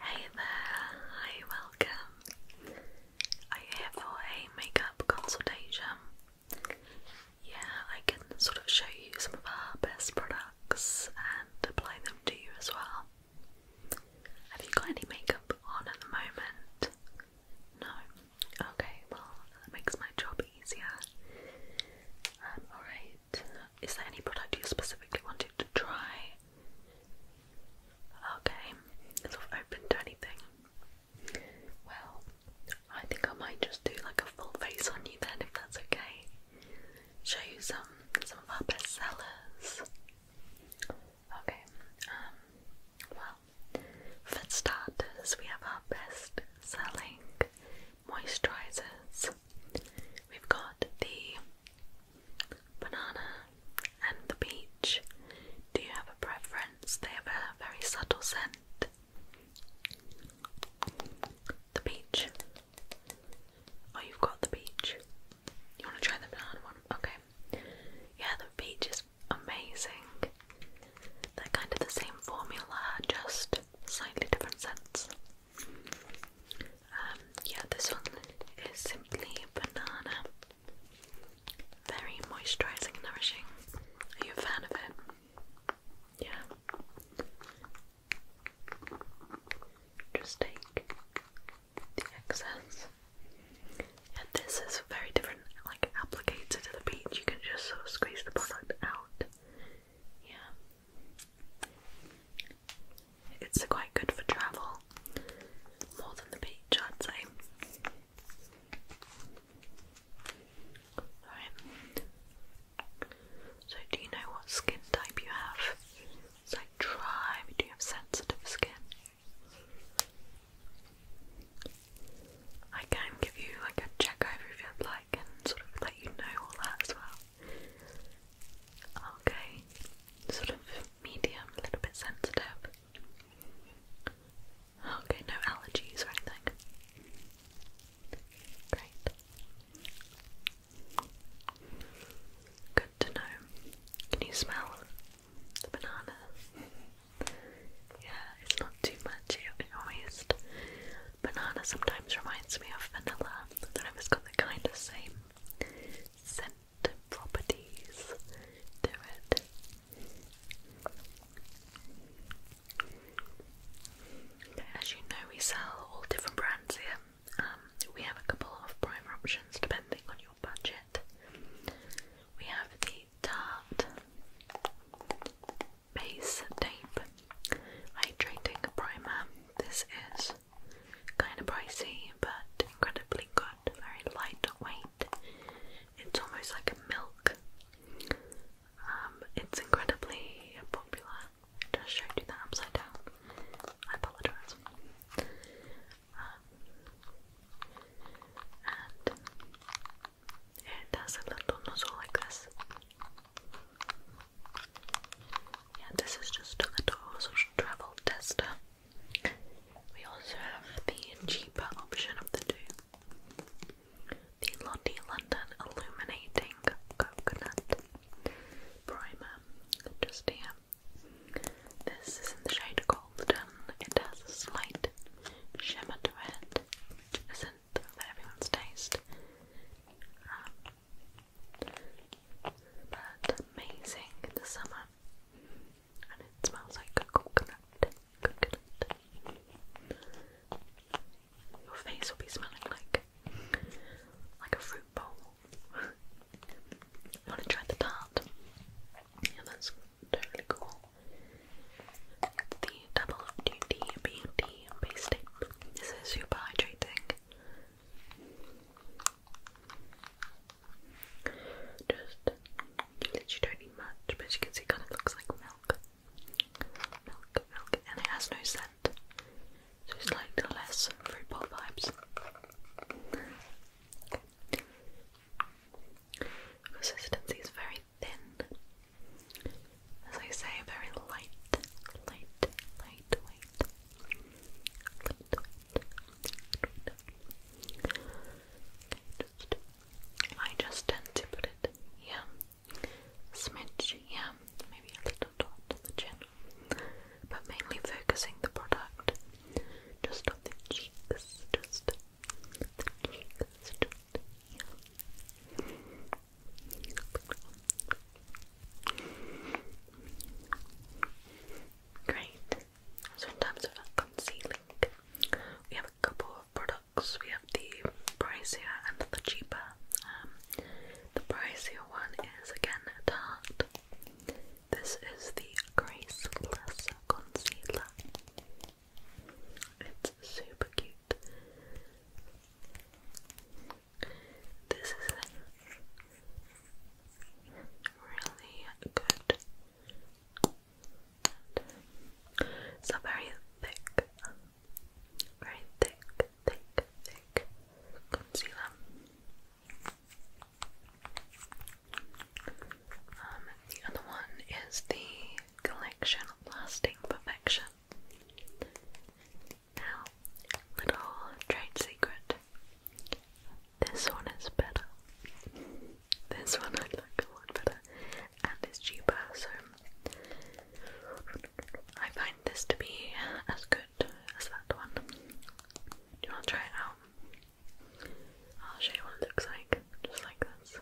Hey there, hi, welcome. Are you here for a makeup consultation? Yeah, I can sort of show you some of our best products and apply them to you as well. Have you got any makeup on at the moment? No? Okay, well, that makes my job easier. Um, alright, is there any product you specifically wanted to try? Okay, sort of open to anything. Well, I think I might just do like a full face on you then, if that's okay. Show you some some of our best sellers. Okay, um, well, for starters, we have our best selling moisturizers. We've got the banana, and the peach. Do you have a preference? They have a very subtle scent. The peach. Oh, you've got the peach. You want to try the banana one? Okay. Yeah, the peach is amazing. They're kind of the same formula, just slightly different scents. Um, yeah, this one is simply banana. Very moisturising and nourishing. Are you a fan of it? Yeah. Just take the excess. And this is very different, like applicator to the peach. You can just sort of squeeze the product out. Yeah. It's quite good for travel, more than the beach, I'd say. So, do you know what skin type you have? So, try. Do you have sensitive skin? I can give you like a check over if you'd like and sort of let you know all that as well. Okay, sort of medium, a little bit sensitive. Okay, no allergies or anything. Great. Good to know. Can you smell the banana? Yeah, it's not too much. It always banana sometimes reminds me of vanilla. I don't got the kind of same scent properties to it. As you know, we sell all different brands here. Um, we have a couple of primer options depending on your budget. We have the Tarte Base Tape Hydrating Primer. This is kind of pricey but incredibly good, very lightweight. It's almost like a milk. Um, it's incredibly popular. Just showed you that upside down. I apologize. Um, and it has a little nozzle like this. Yeah, this is just a little social travel tester. We also have the cheaper option of the two. The Lottie London Illuminating Coconut Primer, just here. This is in the shade Golden. It has a slight shimmer to it, which isn't for everyone's taste. Um, but amazing in the summer and it smells like a coconut, coconut your face will be smelling like like a fruit bowl I want to try the tart yeah that's totally cool it's the double duty beauty base tape this is super hydrating just, you literally don't need much, but as you can see, kind of looks like milk. Milk, milk, and it has no scent. So it's like less fruit pop vibes. Consistency is very thin. As I say, very light, light, lightweight. Okay, just, I just tend to put it here, smidge here, maybe a little dot on the chin, but mainly focusing the product just on the cheeks, just the cheeks, just Great. So in terms of concealing, we have a couple of products. We have the pricier and the cheaper. Um, the pricier one is again Tarte. This is the Graceless Concealer. It's super cute. This is really good. It's not very thick, very thick, thick, thick concealer. Um, the other one is the Collection Lasting Perfection. Now, little trade secret. This one is better. This one I a lot better and is cheaper, so I find this to be as good as that one. Do you want to try it out? I'll show you what it looks like, just like this.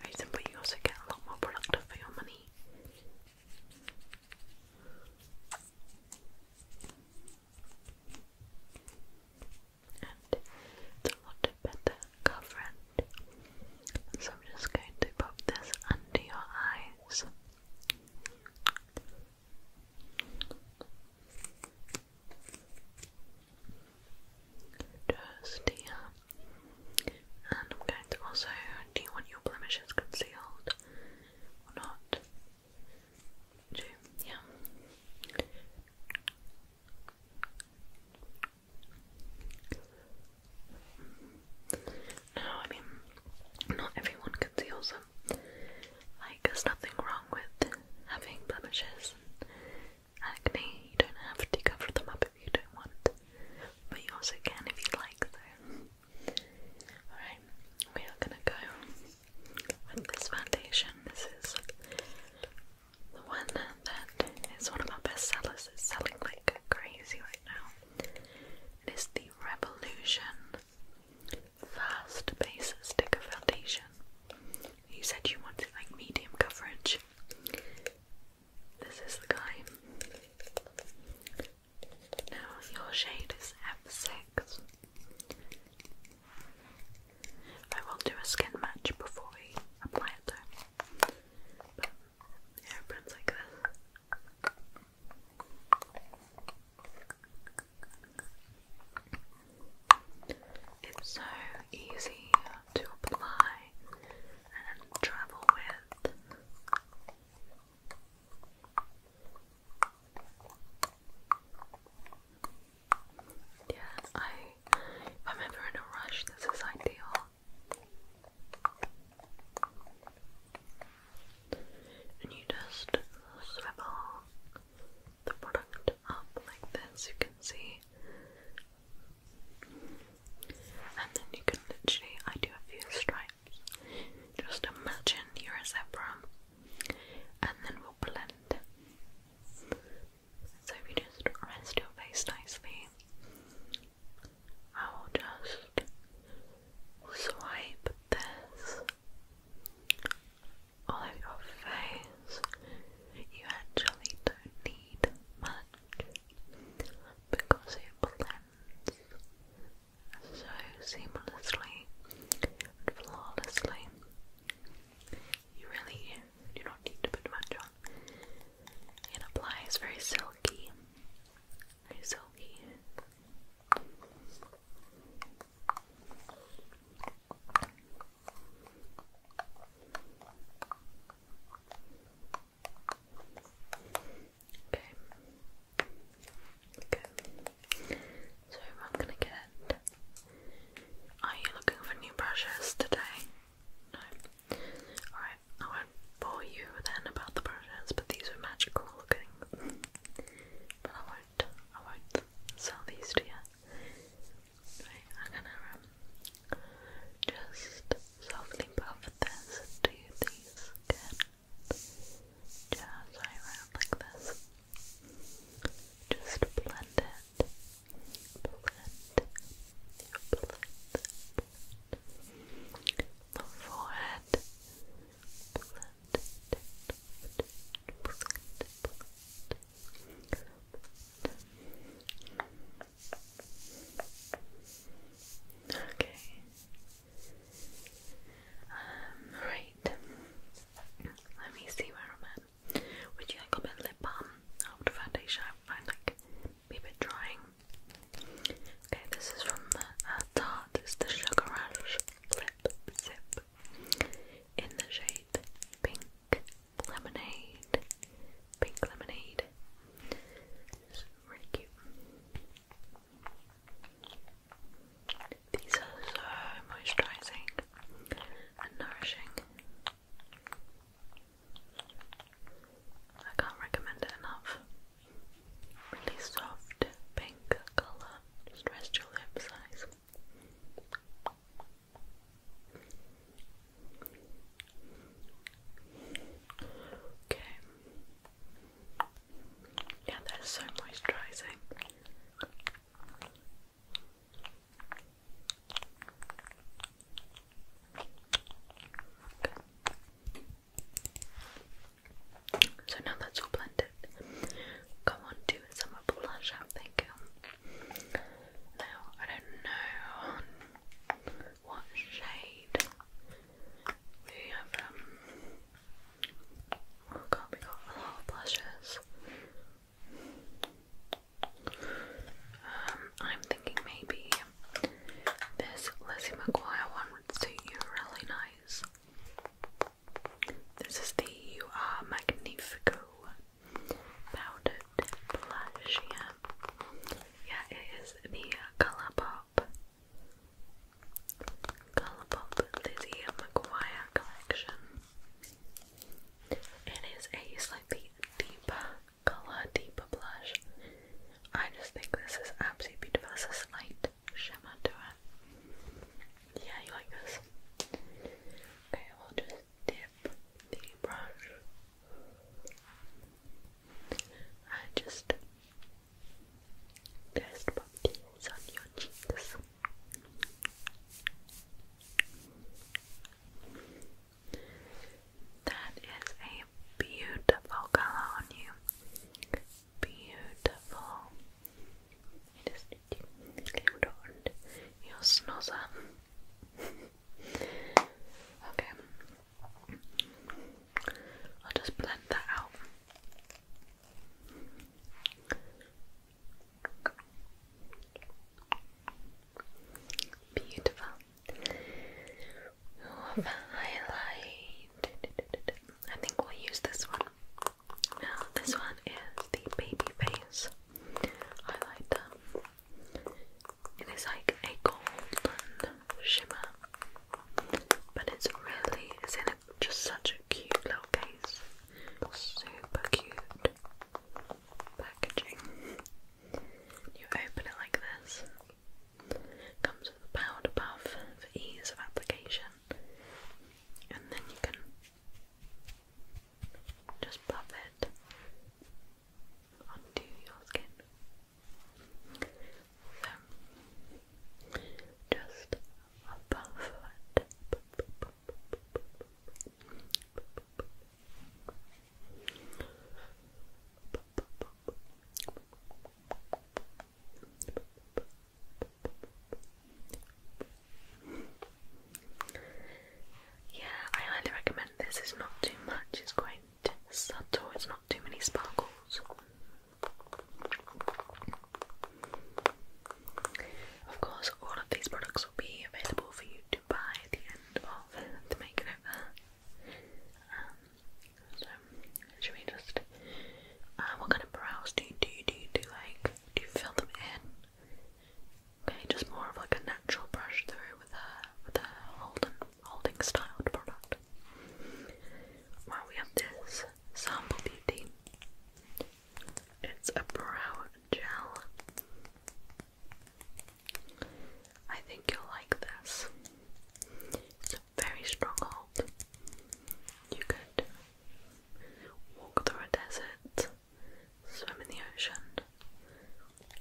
Very simple, you also get a lot more productive for your money and it's a lot better coverage. So I'm just going to pop this under your eyes. Just here. And I'm going to also, do you your blemishes concealed or not? True, yeah. No, I mean, not everyone conceals them. Like, there's nothing wrong with having blemishes and acne. You don't have to cover them up if you don't want, but you also can if you like, so Alright, we are gonna go with this foundation. This is the one that is one of our best sellers. It's selling like crazy right now. It is the Revolution First Base Stick Sticker Foundation. You said you wanted like medium coverage. This is the guy. Now your shade is F6. I will do a skin match before we apply it though. like this. It's so easy to apply and travel with. Yeah, I if I'm ever in a rush, this is ideal. And you just swivel the product up like this, you can see. And then you can literally, I do a few stripes. Just imagine you're a zebra and then we'll blend. So if you just rest your face nicely, I will just swipe this all over your face. You actually don't need much because it blends so seamlessly flawlessly. You really do not need to put much on. It applies very silky, very silky. Okay. So I'm gonna get. Are you looking for new brushes today? No. Alright, I won't bore you then about the brushes, but these are magical looking. But I won't I won't sell these to you. Right, I'm gonna um, just softly buff this into these skin just around like this. Just blend it. Blend. Blend. The forehead. Blend Blend Blend Okay. Um, right. Let me see where I'm at. Would you like a bit lip balm after oh, foundation? I find like a bit drying. Okay, this is from uh, Tarte. It's the Sugar Rush Lip Zip in the shade Pink Lemonade. Pink Lemonade. really cute. These are so moisturizing and nourishing. I can't recommend it enough. Really soft pink colour. Just rest your lips, eyes. Okay, yeah, they're so moisturising. So now that's all blended, go on to some blush out, thank you. Now, I don't know what shade we have. Um, Oh god, we got a lot of blushes. Um, I'm thinking maybe this Lizzie McGuire one would suit you really nice. This is the You uh, Are Magnifico powdered blush, Yeah, it is the uh, Colour Pop Colourpop Lizzie McGuire collection. It is a slightly deeper colour, deeper blush. I just think this is absolutely beautiful. It's slight shimmer to it. Yeah, you like this? Okay, we'll just dip the brush. I just test pop on your cheeks. That is a beautiful color on you. Beautiful. It is cute your snozzer. okay. I'll just blend that out. Beautiful. Oh, highlight. I think we'll use this one. Now, this one is the baby face highlight. It is like a golden shimmer, but it's really just such a cute little case. Super cute packaging. You open it like this. Comes with a powered above for ease of application. And then you can just pop it onto your skin. So just yeah, I highly recommend this. It's not too much, it's quite subtle, it's not too many sparkles. Of course, all of these products will be available for you to buy at the end of the makeover. Um, so, should we just. Uh, what kind of brows do you do? Do you do like. Do you fill them in? Okay, just more of like a natural brush through with a, with a holding, holding styled product. Well, we have this Sample Beauty. It's a brow gel. I think you'll like this. It's very strong hold. You could walk through a desert, swim in the ocean,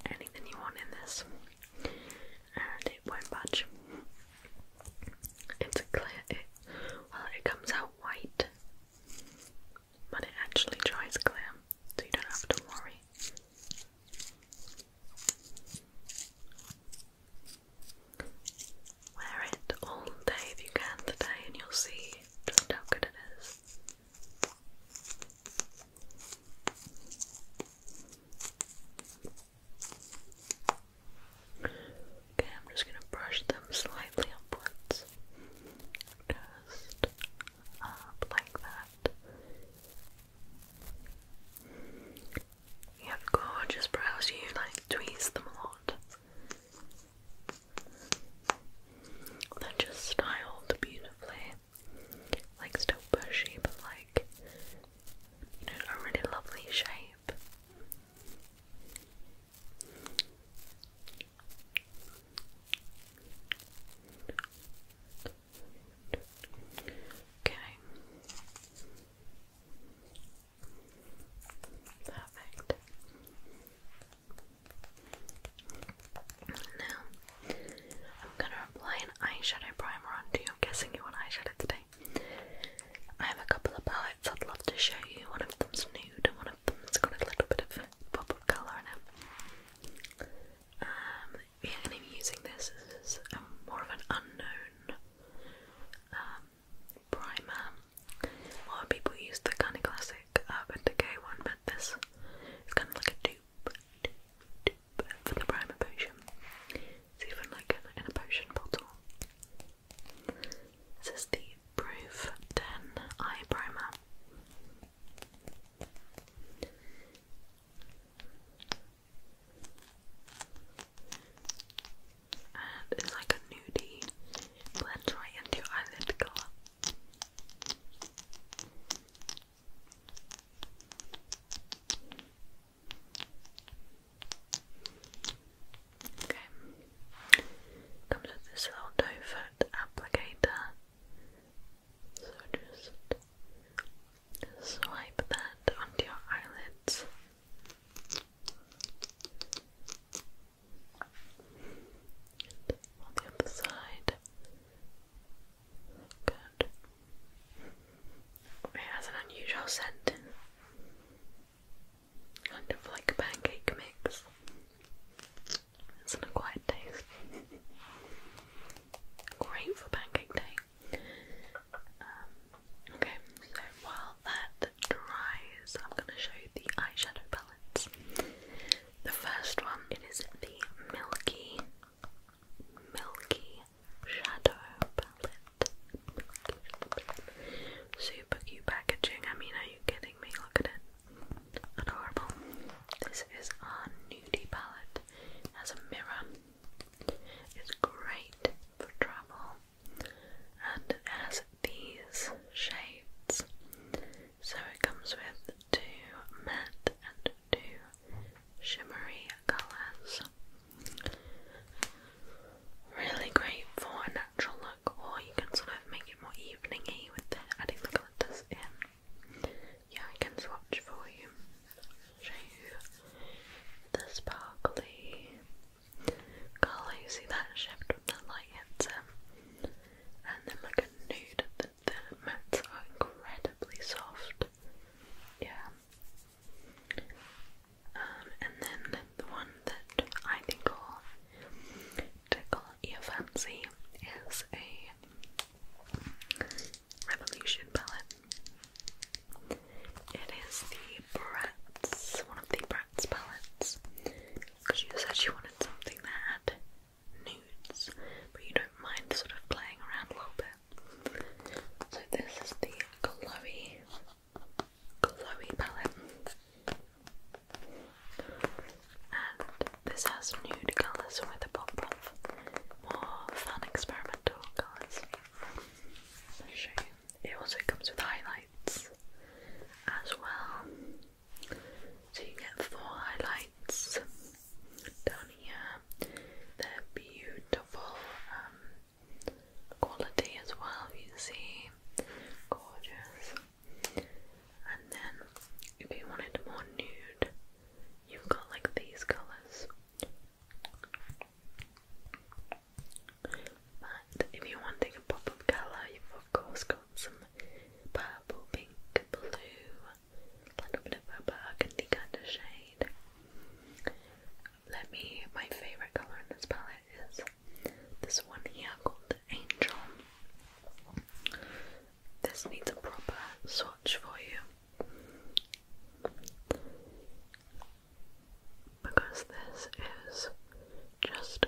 anything you want in this, and it won't budge. It's a clear, well, it comes out white, but it actually dries clear, so you don't have to worry. Wear it all day if you can today, and you'll see just how good it is. Okay, I'm just gonna brush them slightly upwards. Just up like that. You have gorgeous brows, you like tweeze them a lot. They're just styled beautifully. Like still bushy, but like you know, a really lovely shape. Okay. Perfect. Now, I'm going to apply an eyeshadow primer onto you. I'm guessing you want eyeshadow today. I have a couple of I'd love to show you. One of them's nude and one of them's got a little bit of pop of colour in it. Um, yeah, and I'm using this as a, um, more of an unknown um, primer. A lot of people use the kind of classic Urban Decay one, but this is kind of like a dupe, for the primer potion. It's even like in a potion bottle. This is the Proof 10 Eye Primer. And it's like a nudie, blends right into your eyelid colour. Comes with this little doe foot applicator. So just swipe that onto your eyelids. on the other side. Good. It has an unusual scent. Kind of like pancake mix. Isn't it quite taste? Great for pancake day. Um, okay, so while that dries, I'm going to show you the eyeshadow palettes. The first one, it is the Milky, Milky Shadow Palette. Super cute packaging. I mean, are you kidding me? Look at it. Adorable. This is a nudie palette. It has a mirror. It's great for travel. And it has these shades. So it comes with two matte and two shimmery colours. Really great for natural look or oh, you can sort of make it more eveningy with the, adding the glitters in. Yeah, I can swatch for you. Show you the sparkly colour. You see that shift when the light hits it, um, and then like a nude. The, the are incredibly soft. Yeah. Um, and then the one that I think will tickle your fancy is a Revolution palette. It is the Bratz, one of the Bratz palettes. Because you said you wanted something that had nudes, but you don't mind sort of playing around a little bit. So this is the glowy glowy palette. And this has nude colours with a pop of more fun experimental colours. I'll show you. It also comes with highlights as well. So you get four highlights down here. They're beautiful um, quality as well, you see. Gorgeous. And then, if you wanted more nude, you've got like these colours. But if you wanted a pop of colour, of course got some purple, pink, blue, a bit of a burgundy kind of shade. Let me, my favourite colour in this palette is this one here called the Angel. This needs a proper swatch for you because this is just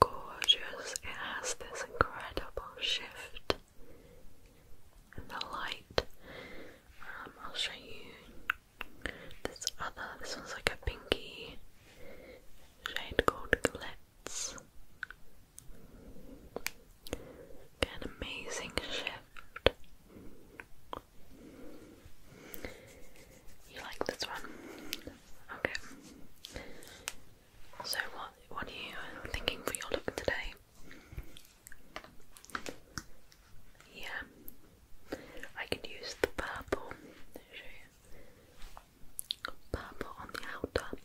gorgeous. It has this incredible shift in the light. Um, I'll show you this other. This one's like a pinky shade called Glitz. an amazing shift. You like this one? Okay. So what what are you thinking for your look today? Yeah, I could use the purple purple on the outer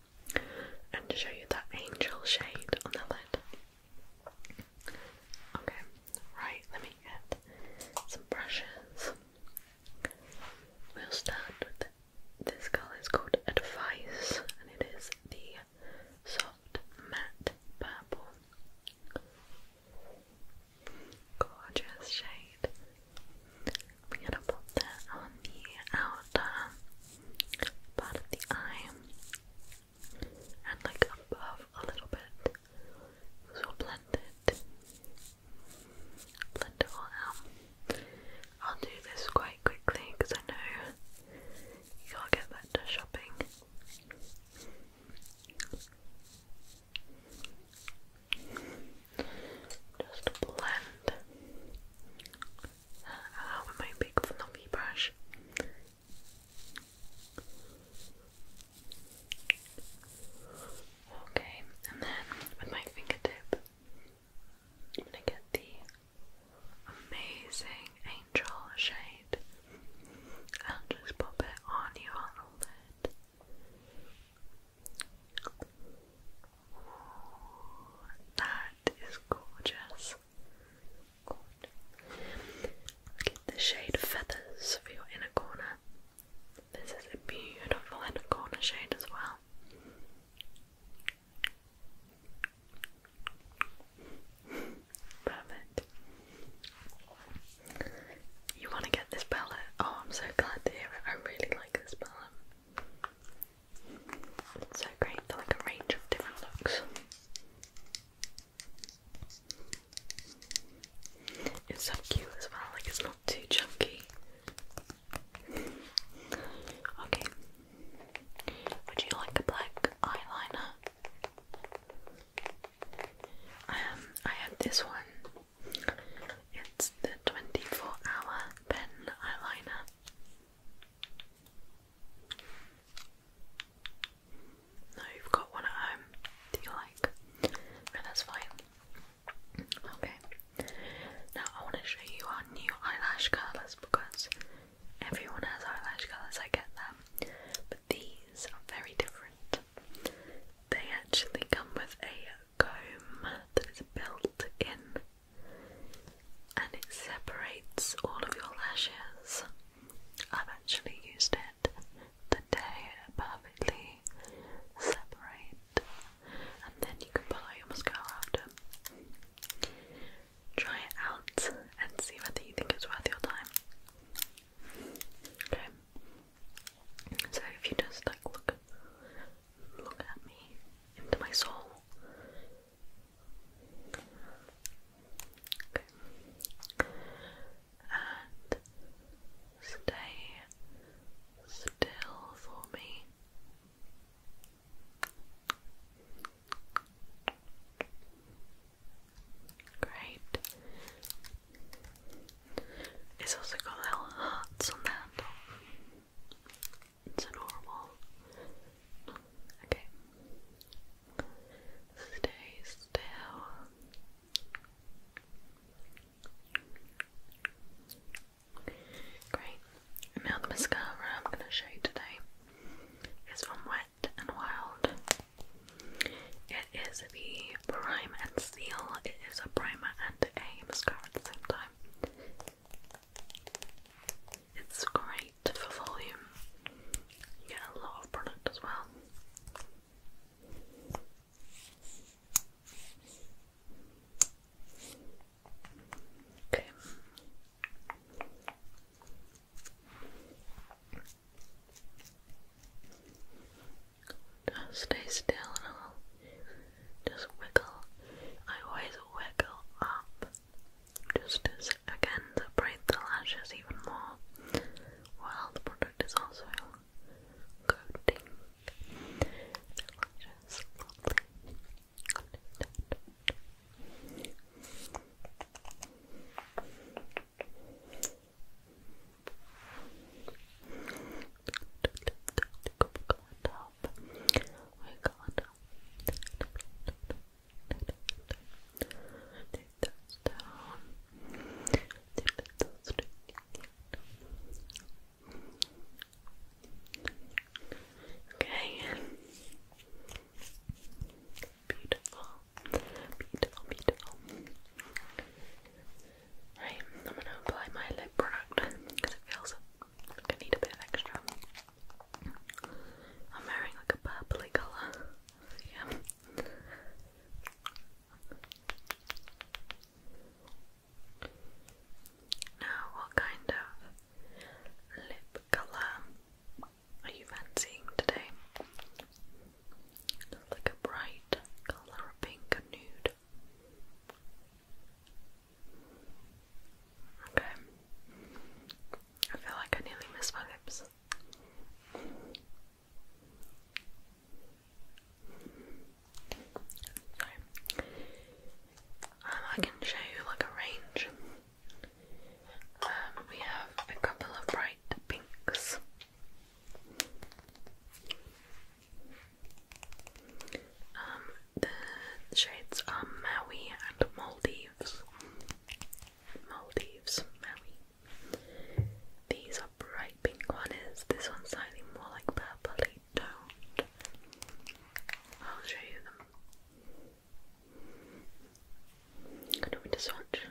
and to show you that angel shade on the lid. Okay, right, let me get some brushes. We'll start with this colour, it's called Advice and it is the soft matte purple. Gorgeous shade. We're going to put that on the outer part of the eye and like above a little bit. we'll blend it. Blend it all I'll do this quite quickly because I know you got get back to shopping. Just blend that out with my big fluffy brush. Okay, and then with my fingertip, I'm gonna get the amazing angel shade and just pop it on your lid. That is gorgeous. Get the shade Feathers for your inner corner. This is a beautiful inner corner shade as well. Perfect. You want to get this palette? Oh, I'm so glad to hear it. I really like this palette. It's so great for like a range of different looks. It's so cute as well, like it's not too chunky. Okay. Would you like a black eyeliner? Um, I have this one it's the 24 hour pen eyeliner. No, you've got one at home that you like. No, that's fine. Okay. Now I want to show you our new eyelash colours because everyone has eyelash colours, I get them. But these are very different. They actually come with a comb that is built in and it separates all of your lashes. I've actually used it today, it perfectly separate and then you can apply your mascara after. Try it out and see whether you think it's worth your time. Okay. So if you just like look Look at me into my soul. Okay. And stay still for me. Great. It's also got little hearts on the it's an normal. Okay. Stay still. Great. Now the mascara I'm going to show you today is from Wet and Wild. It is the Prime and Seal. It is a primer and a mascara at the same time. It's great for volume. You get a lot of product as well. Okay. stay still and I'll just wiggle. I always wiggle up just as again to braid the lashes even more while the product is also coating the lashes Take those Okay. Beautiful. Beautiful, beautiful. I'm gonna apply my lip product because it feels I need a bit extra. I'm wearing like a purpley colour. yeah. Now, what kind of lip colour are you fancying today? like a bright colour, a pink, a nude. Okay. I feel like I nearly missed my lips. So, um, I can show you like a range. Um, we have a couple of bright pinks. Um, the shades are Maui and Maldives. Maldives, Maui. These are bright pink corners. This one's slightly more like purpley toned. I'll show you them. don't want to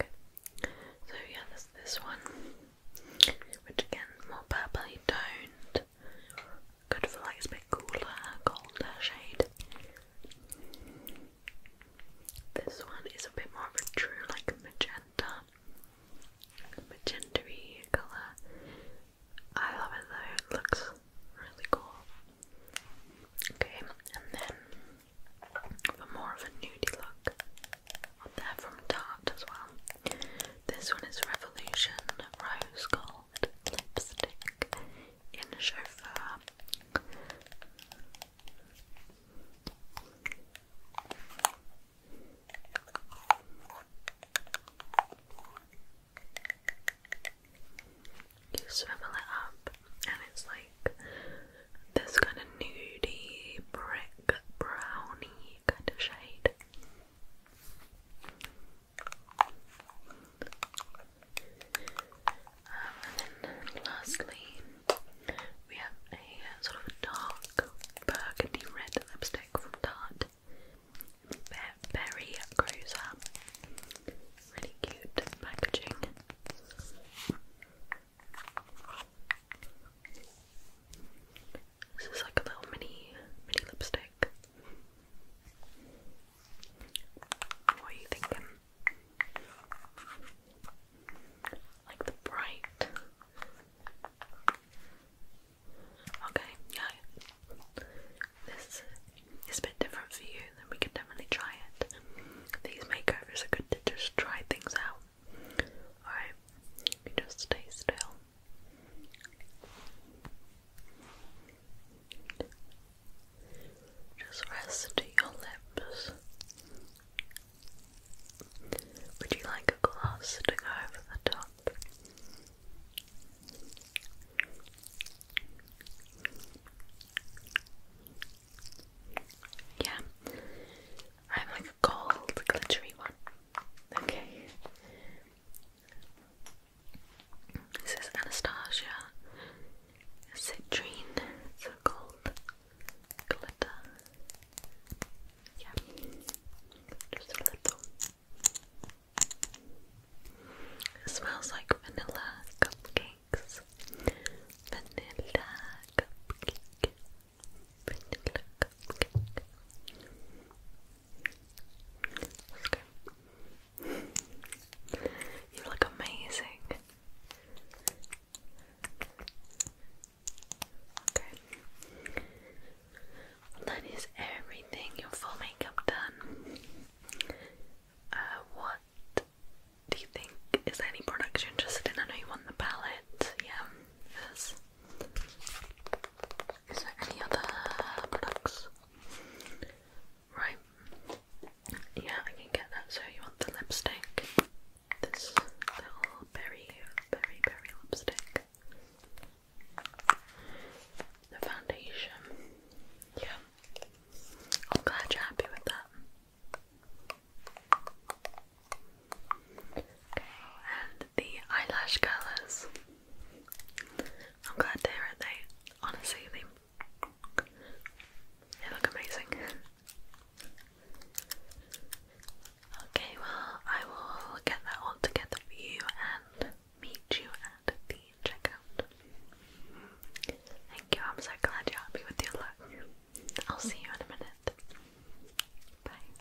okay. So yeah, there's this one which again, more purpley toned, good for like a bit cooler, colder shade. This one is a bit more of a true like magenta, magenta colour. I love it though, it looks really cool. Okay, and then for more of a nudie look, on there from Tarte as well. This one is Revolution Rose Gold Lipstick in Chauffeur. You swivel it up, and it's like this kind of nudie brick brownie kind of shade. Um, and then lastly, we have a uh, sort of dark burgundy red lipstick from Tarte. Berry Cruiser. Really cute packaging. This is like a little mini mini lipstick. What are you thinking? Like the bright. Okay, yeah. This is a bit different for you, then we can definitely try it. These makeovers are good to just try things out. Alright, just stay still. Just rest your lips. Would you like a gloss to go over the top? Yeah, I have like a gold glittery one. Okay, this is Anastasia Citrine, it's a gold Yeah, just a little. smells like vanilla cupcakes. Vanilla cupcake. Vanilla cupcake you look amazing. Okay. that is everything. Your full makeup done. Uh, what do you think? Is there any product you're interested in? I know you want the palette. Yeah. Yes. Is there any other products? Right. Yeah, I can get that. So you want the lipstick? This little berry, berry, berry lipstick. The foundation. Yeah. I'm glad you're happy with that. Okay, the eyelash colours. I'm glad they're at they honestly they look amazing. Okay, well I will get that all together for you and meet you at the checkout. Thank you, I'm so glad you're happy with your look. I'll see you in a minute. Bye.